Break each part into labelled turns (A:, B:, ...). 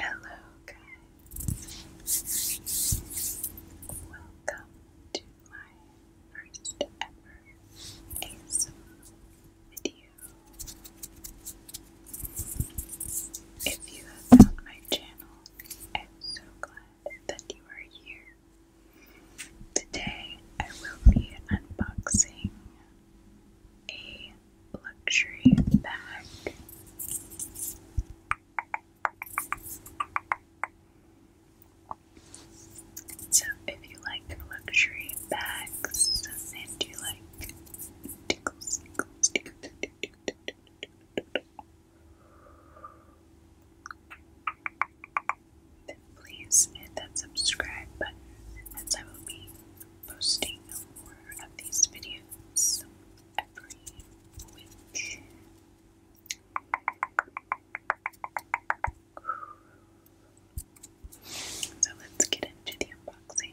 A: Hello, guys. Welcome to my first ever ASMR video. If you have found my channel, I'm so glad that you are here. Today I will be unboxing a luxury bag. So, if you like luxury bags and you like tickles and then please hit that subscribe button as I will be posting more of these videos every week. So let's get into the unboxing.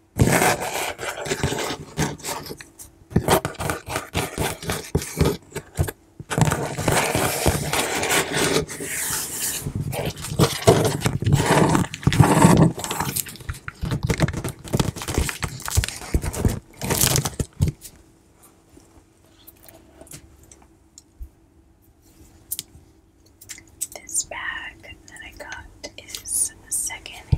A: This bag that I got that is second hand.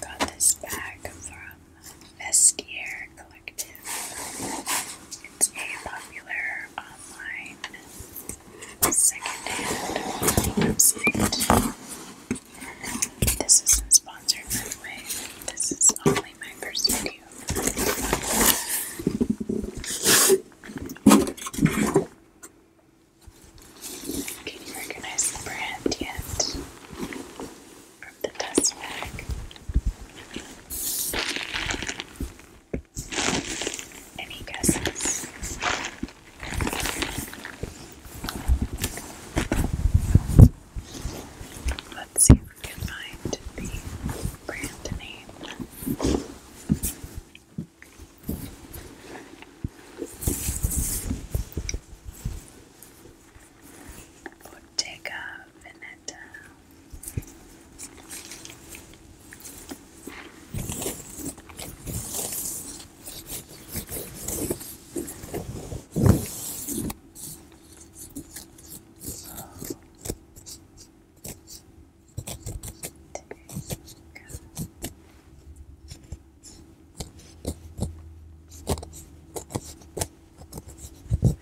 A: Got this bag from Vestiaire Collective. It's a popular online secondhand website. This isn't sponsored, by the way. This is only my first Can you recognize the brand yet? from the dust bag. Any guesses? Let's see if we can find the brand name. Bottega Veneta. Bottega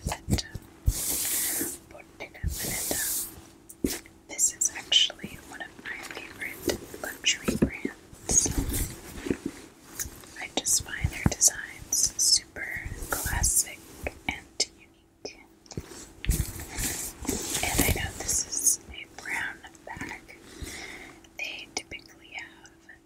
A: that Bottega This is actually one of my favorite luxury brands. I just find their designs super classic and unique. And I know this is a brown bag. They typically have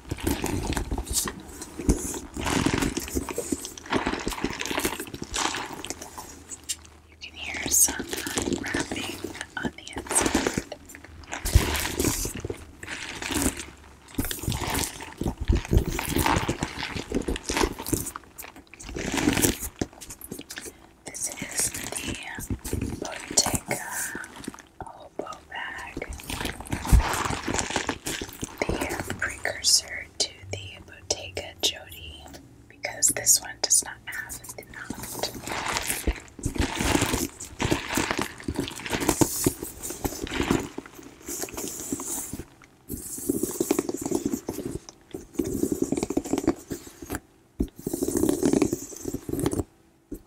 A: You can hear some wrapping on the inside. This is the Bottega Oboe bag, the precursor to the Bottega Jodi, because this one does not have the knot. It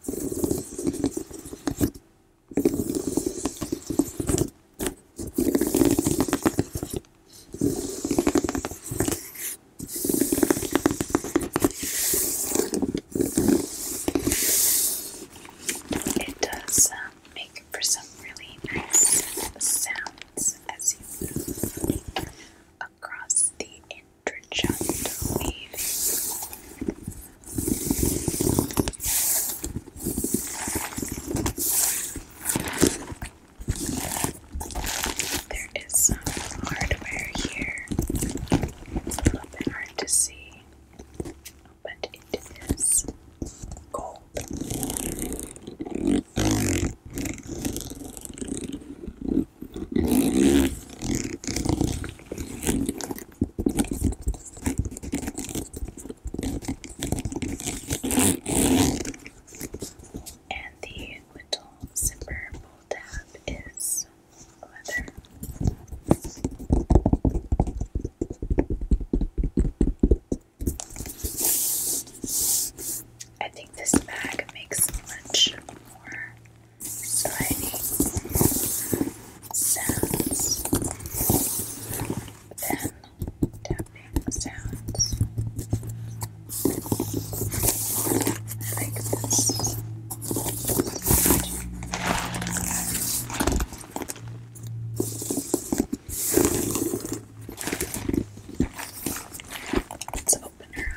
A: does um, make for some really nice sounds as you move across the Trichanter weaving. There is some hardware here. It's hard to see, but it is gold. And the whittle zipper pull tab is leather. I think this bag makes much more slimy sounds, then tapping sounds. Let's open her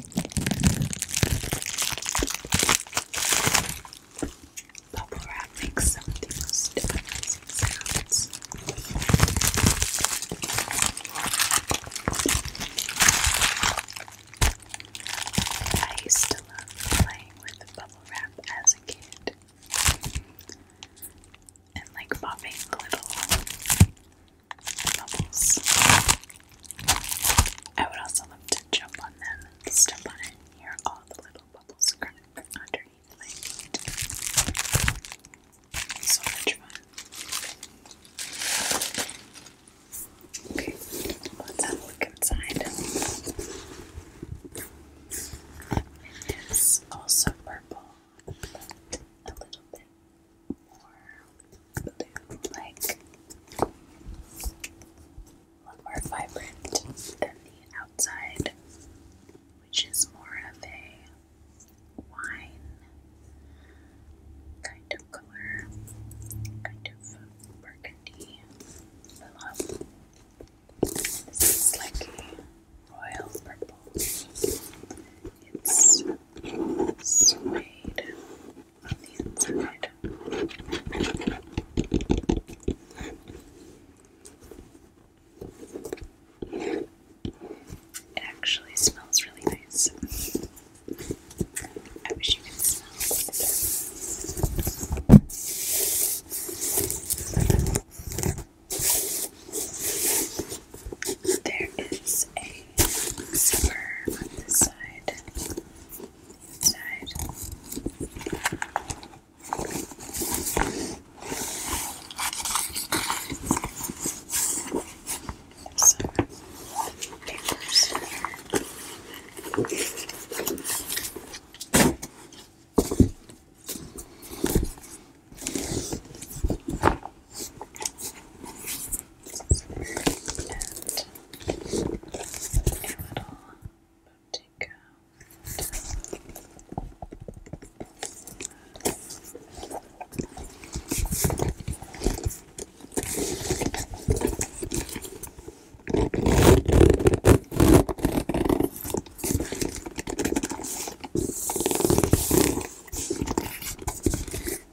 A: Bubble wrap makes some most amazing sounds. I used to love playing with bubble wrap as a kid. And like popping little bubbles I would also love to jump on them step on it hear all the little bubbles crack underneath my So much fun. Okay, let's have a look inside. It is also purple, but a little bit more blue, like more vibrant than the outside, which is more of a wine kind of color, kind of burgundy. this is like a royal purple. It's suede it actually smells really nice. I wish you could smell it. There is a zipper on this side, inside. Some papers here. And a little boutique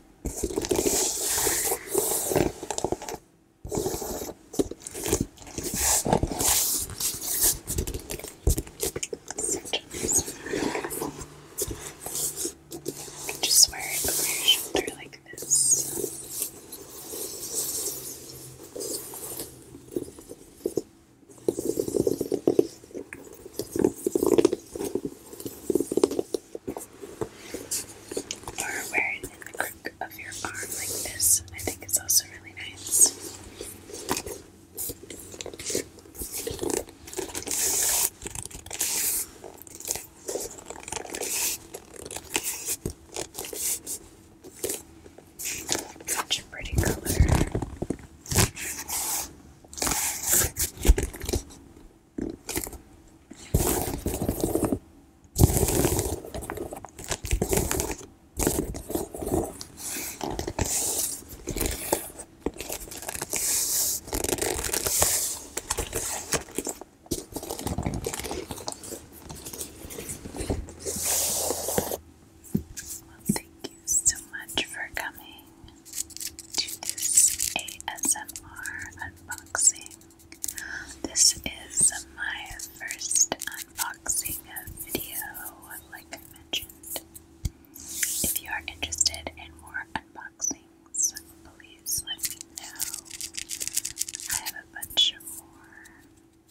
A: you can just wear it over your shoulder like this or wear it the crook of your arm like this. I think it's also really nice. Such a pretty color. Well, thank you so much for coming to this ASMR unboxing. This is my first unboxing video, like I mentioned. If you are interested in more unboxings, please let me know. I have a bunch of more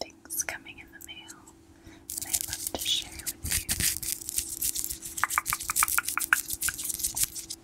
A: things coming in the mail and I would love to share with you.